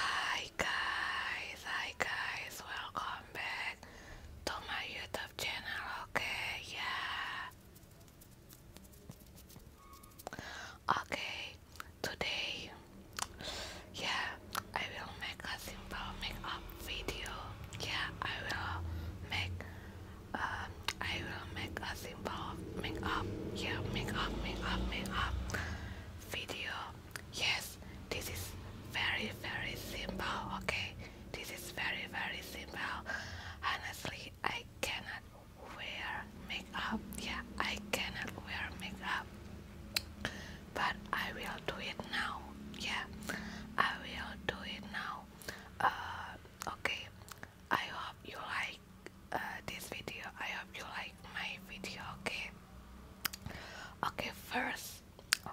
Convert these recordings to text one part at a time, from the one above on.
Hi guys, hi guys, welcome back to my YouTube channel, okay, yeah. Okay, today, yeah, I will make a simple makeup video, yeah, I will make, um, I will make a simple makeup, yeah, makeup, makeup, makeup video. Yes, this is very very simple. Okay, this is very very simple. Honestly, I cannot wear makeup. Yeah, I cannot wear makeup. But I will do it now. Yeah, I will do it now. Uh, okay. I hope you like uh, this video. I hope you like my video. Okay. Okay. First,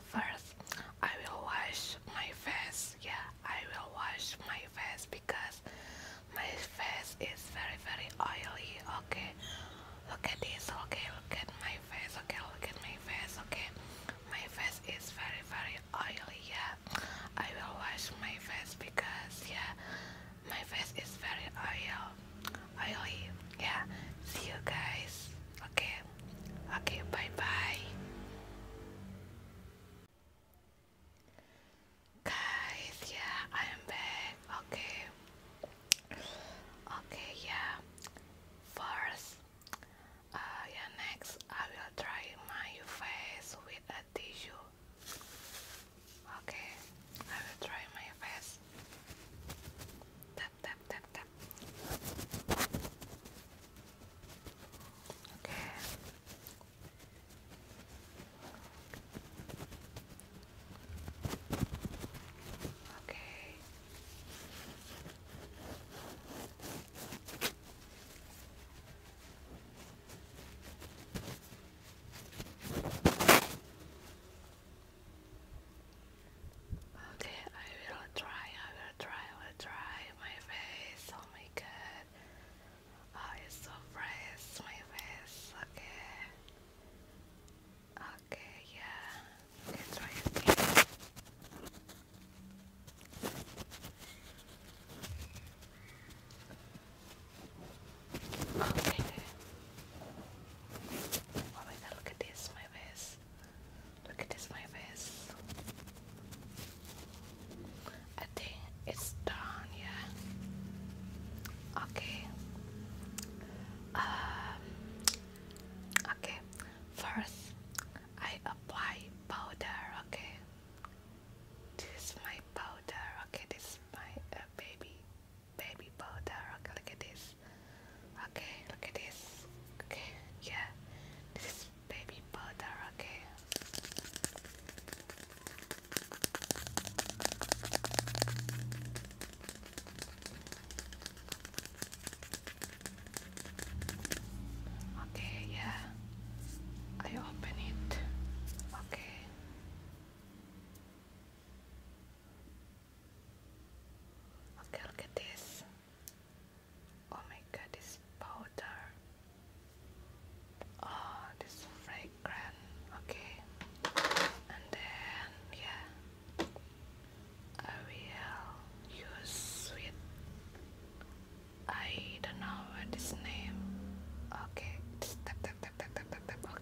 first, I will wash my face. Yeah, I will wash my face because my face is very very oily. Okay. Look at this. Okay. Look at my face. Okay. Look at my face. Okay. My face is very very oily. Yeah. I will wash my face because yeah my face is very oil oily yeah see you guys okay okay bye bye guys yeah I am back okay okay yeah first uh, yeah next I will try my face with a tissue Okay, I will try my best. Tap, tap, tap, tap. Okay. Okay. Okay, I will try, I will try, I will try my face. Oh my god. Oh, it's so fresh, my face. Okay. Okay, yeah. Okay, try again. Okay. Oh my god, look at this, my face. Look at this, my face. I think it's done, yeah. Okay. okay, first I apply powder, okay. This my powder, okay. This my uh, baby baby powder. Okay, look at this. Okay, look at this. Okay, yeah, this is baby powder. Okay. Okay, yeah. I open it. Okay. Okay, look at this. Oh my god, this powder. Oh, this fragrant. Okay. And then, yeah. I will use with I don't know what is name. Okay, just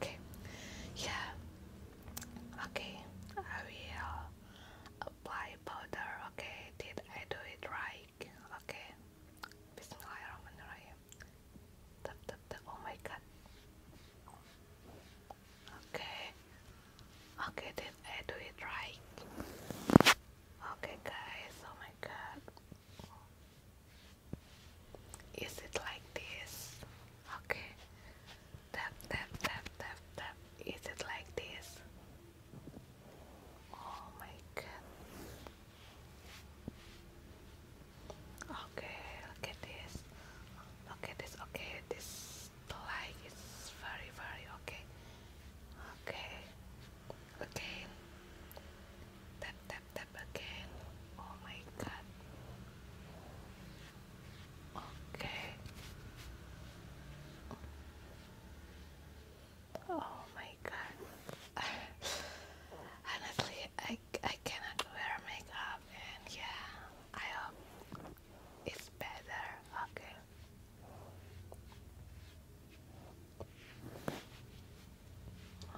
Okay yeah okay I will apply powder okay did I do it right okay Bismillahirrahmanirrahim tap tap tap oh my god okay okay did I do it right okay guys oh my god is it like this? Okay. Tap, tap, tap, tap, tap. it like this? Oh my god. Okay, look at this. Okay, this, okay, this light is very, very okay. Okay, okay, Tap, tap, tap again. Oh my god. Okay. Oh my god. Honestly, I, I cannot wear makeup, and yeah, I hope it's better. Okay.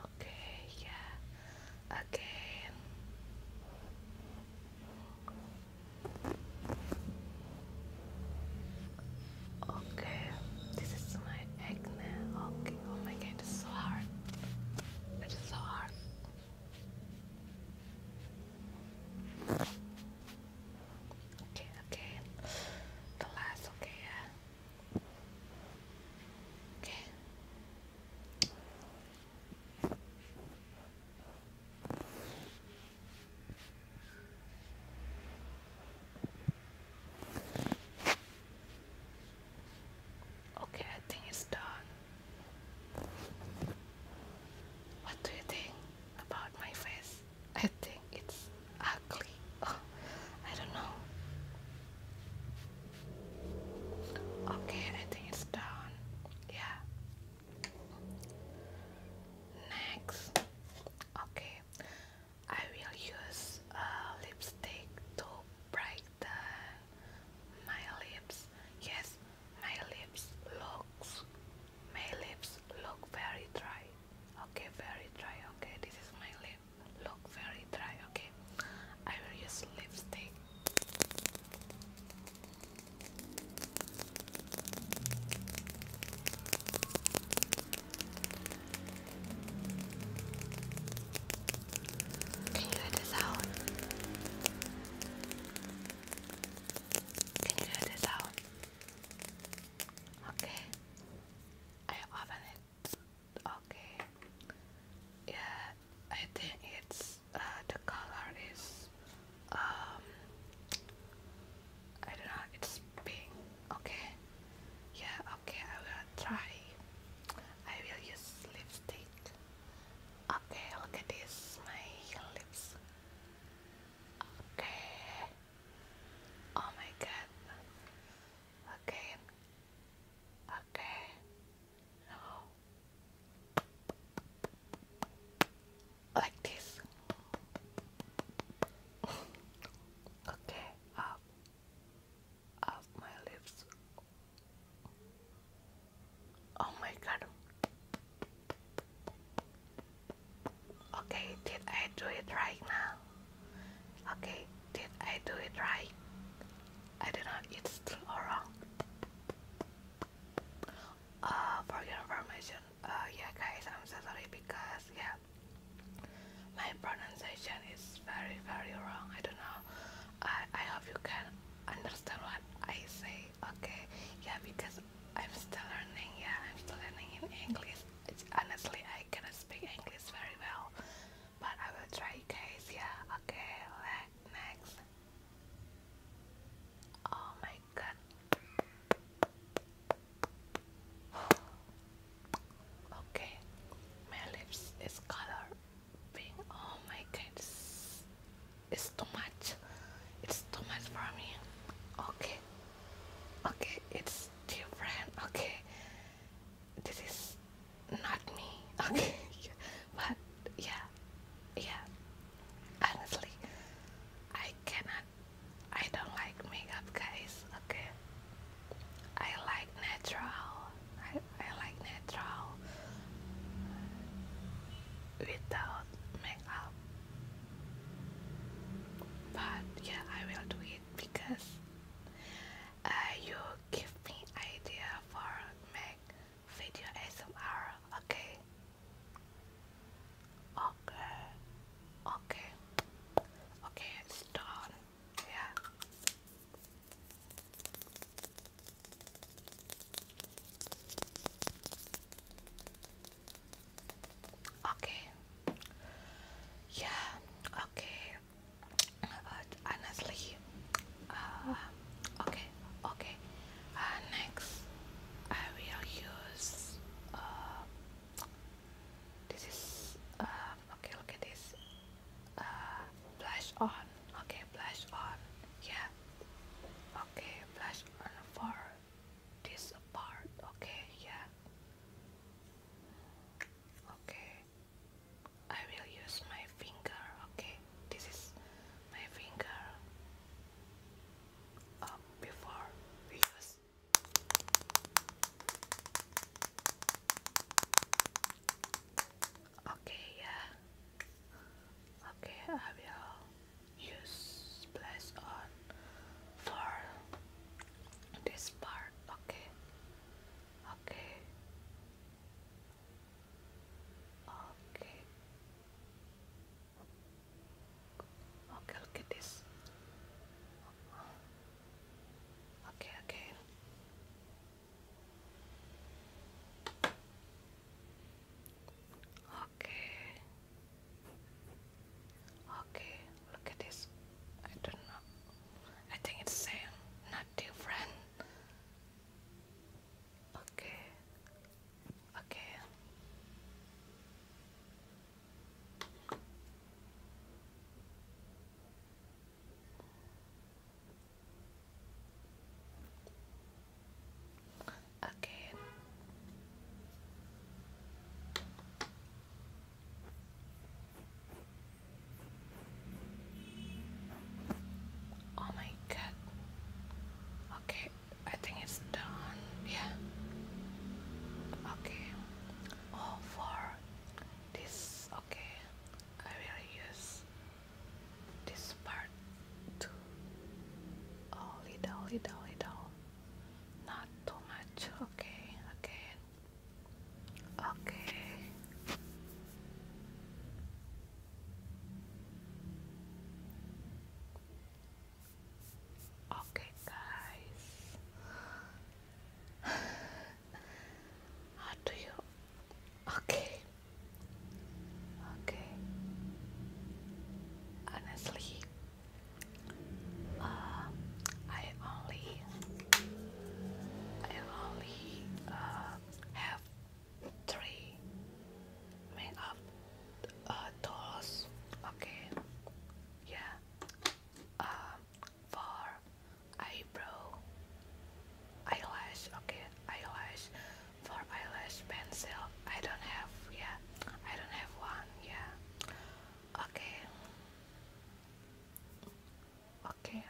Okay, yeah. Again. Okay, this is my acne. Okay, oh my god, it's so hard. It's so hard. Okay, okay. The last, okay, yeah. Okay. Okay, I think it's done. What do you think about my face? I think it's ugly. Oh, I don't know. Okay, I think it's down. Yeah. Next, okay, I will use lipstick to brighten my lips. Yes, my lips looks my lips look very dry. Okay, very dry. Okay, this is my lip look very dry, okay? I will use lipstick. Can you hear the sound? Can you hear the sound? Okay, I open it okay. Yeah, I think it's uh, the color is um I don't know. It's pink. Okay. Yeah. Okay. I will try. I will use lipstick. Okay. Look at this. My lips. Okay. Oh my god. Okay. Okay. No. Like this. okay, up. Up my lips. Oh my god. Okay, did I do it right now? Okay, did I do it right? I don't know, it's still wrong. Uh, for your information, uh, yeah, guys, I'm so sorry because, yeah, my pronunciation is very, very wrong. I don't know. I, I hope you can understand what I say, okay? Yeah, because I'm still learning, yeah, I'm still learning in English. It's, honestly, I cannot speak English very well but I will try guys okay next oh my god okay my lips is color pink oh my god it's, it's too much it's too much for me okay okay it's different okay this is not me okay but yeah yeah honestly I cannot I don't like makeup guys okay I like natural I, I like natural without makeup but yeah I will do it because uh, you give me idea for make video ASMR, okay? Okay, okay, okay, it's done, yeah. Okay. Yeah, okay. Uh, honestly uh, okay okay uh, next I will use this is um, okay look at this blush on okay blush on yeah okay blush on for this part okay yeah okay I will use my finger, okay? This is my finger up oh, before Okay, yeah. Okay, I will use splash on for this part, okay? Okay. Okay. Okay, look at this. Okay, okay. Okay. Okay, look at this. I don't know. I think it's Sam, not different. Okay. Okay. Again. Oh my god. Okay, I think it's done. Yeah. Okay. Oh, for this, okay, I will use this part too. Oh, little, little, little. Not too much. Okay, Okay. Okay. Okay, guys. How do you? Okay. Okay. Honestly, uh, I only I only uh, have three makeup tools. Uh, okay, yeah. Um, for eyebrow, eyelash. Okay, eyelash. For eyelash pencil, I don't have. Yeah, I don't have one. Yeah. Okay. Okay.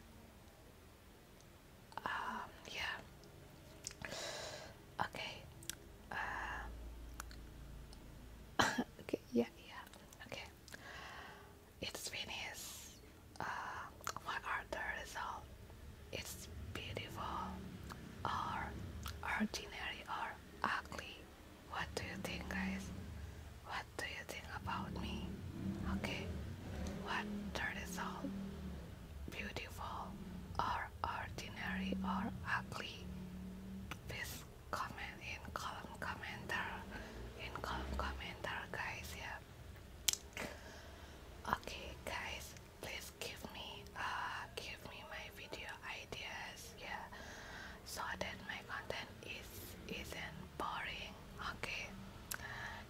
Um, yeah. Okay. Um, okay, yeah, yeah. Okay. It's finished. Uh, what are the results? Um, it's beautiful or ordinary or ugly. What do you think, guys? What do you think about me? Okay, what the result? Beautiful or ordinary or ugly? Please comment in column commenter. In column commenter, guys. Yeah. Okay, guys. Please give me uh give me my video ideas. Yeah, so that my content is isn't boring. Okay,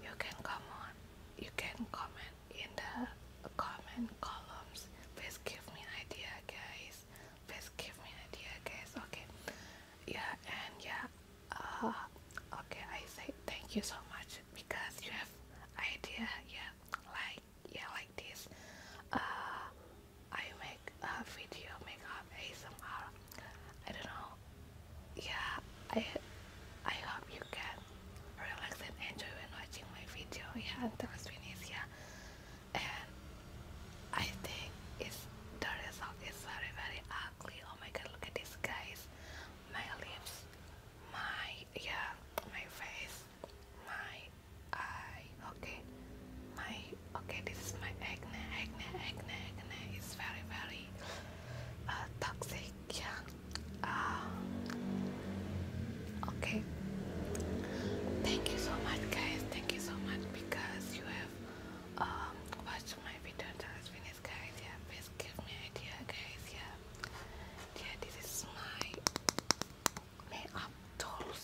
you can come on. You can comment in the comment columns. Please give me an idea, guys. Please give me an idea, guys. Okay, yeah, and yeah. Uh, okay, I say thank you so much because you have idea. Yeah, like yeah, like this. Uh, I make like a video makeup ASMR. I don't know. Yeah, I I hope you can relax and enjoy when watching my video. Yeah, until it's finished. Yeah, and I think it's the result is very very ugly. Oh my god, look at these guys. My lips, my yeah, my face, my eye. Okay, my okay this is my acne acne acne acne is very very uh, toxic yeah um, okay thank you so much guys thank you so much because you have um, watched my video until it's finished guys yeah please give me idea guys yeah yeah this is my makeup tools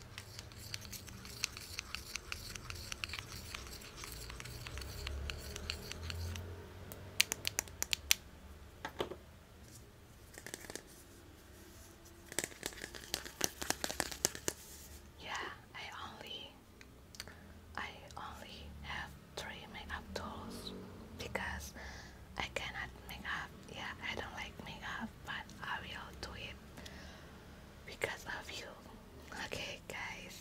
Yeah, I only I only have three makeup tools because I cannot make up. Yeah, I don't like makeup, but I will do it because of you. Okay, guys.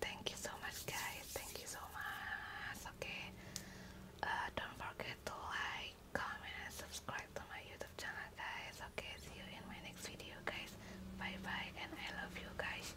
Thank you so much, guys. Thank you so much. Okay. Uh, don't forget to like, comment, and subscribe to my YouTube channel, guys. Okay. See you in my next video, guys. Bye bye, and I love you, guys.